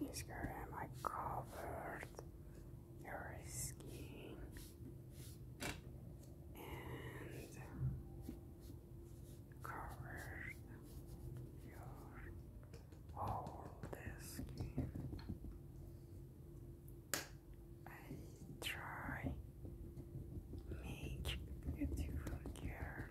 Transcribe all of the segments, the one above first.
With this I covered you're skiing and covered your whole skin. I try make beautiful girl.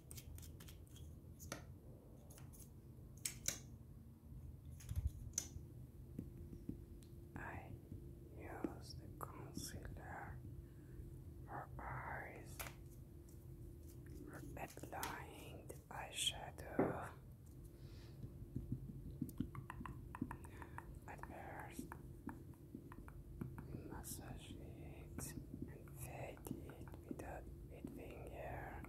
I use the concealer for eyes, for applying the eyeshadow. At Massage it and fade it with a being here.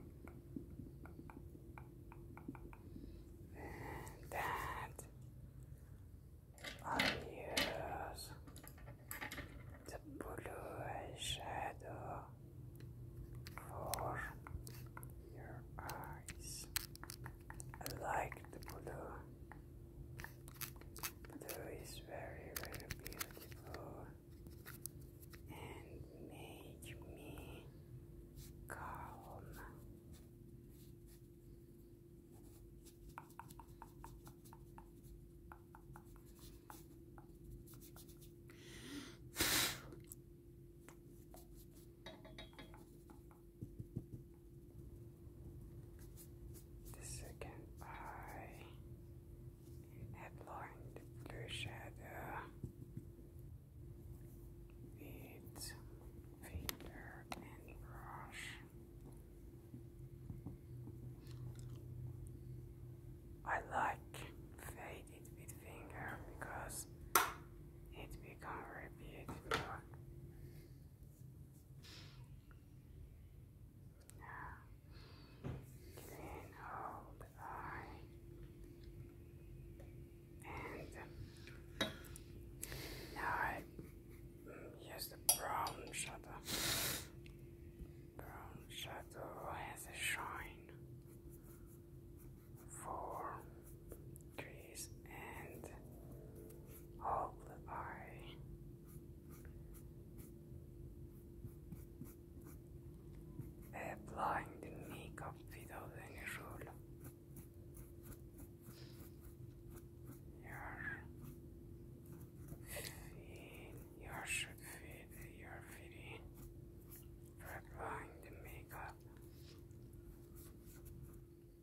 And that I use the blue eyeshadow for your eyes. I like the blue it is very, very beautiful and make me calm the second eye, and applying shadow with finger and brush. I like faded with finger because it becomes very now, then hold on and I use mm, the brown shadow. Brown shadow has a shine for trees and all the eye. Applying the makeup without any rule. You're feeling, you should your feeling for applying the makeup.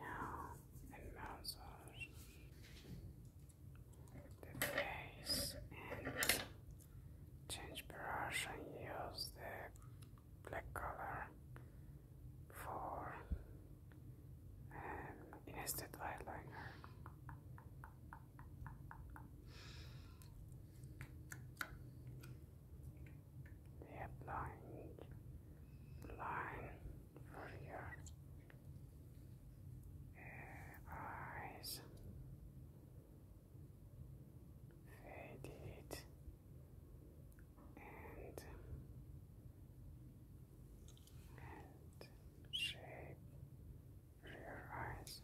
Now, and massage the face and change brush and use the black color for um, instead eyeliner. The applying line for your uh, eyes. Fade it and and shape rear eyes.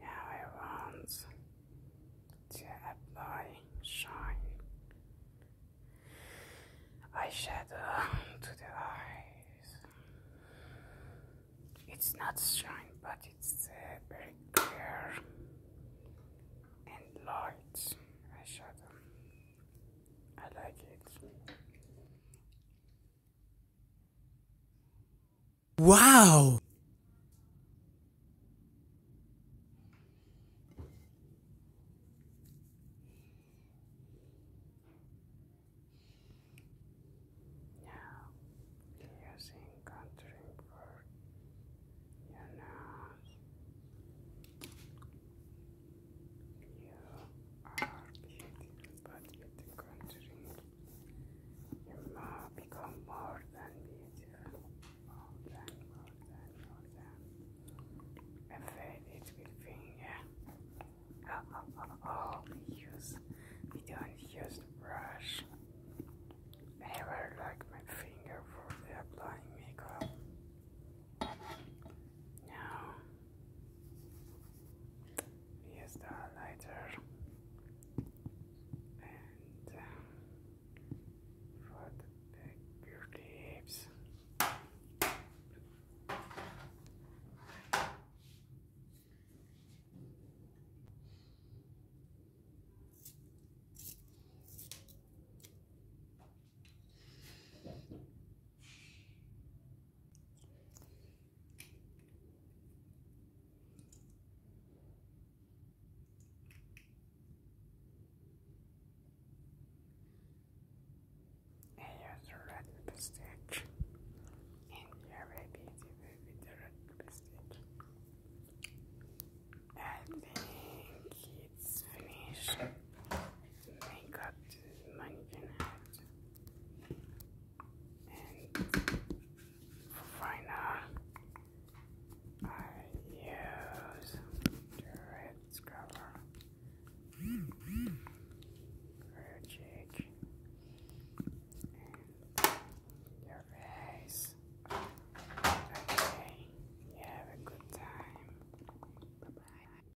Now I want to apply shine eyeshadow to the eyes. It's not shine, but it's uh, very clear and light eyeshadow. I like it. Wow! Now, using contouring for your nose, you are beautiful, with the contouring you now become more than beautiful, more than, more than, more than. And then it will finger. Oh, oh, oh, use, we don't use the brush. I never like my finger for the applying makeup. Now, Fiesta later and um, for the big use red stitch and here maybe with the red stitch I think it's finished I got and for I use the red scrubber red cheek and your face okay you have a good time bye bye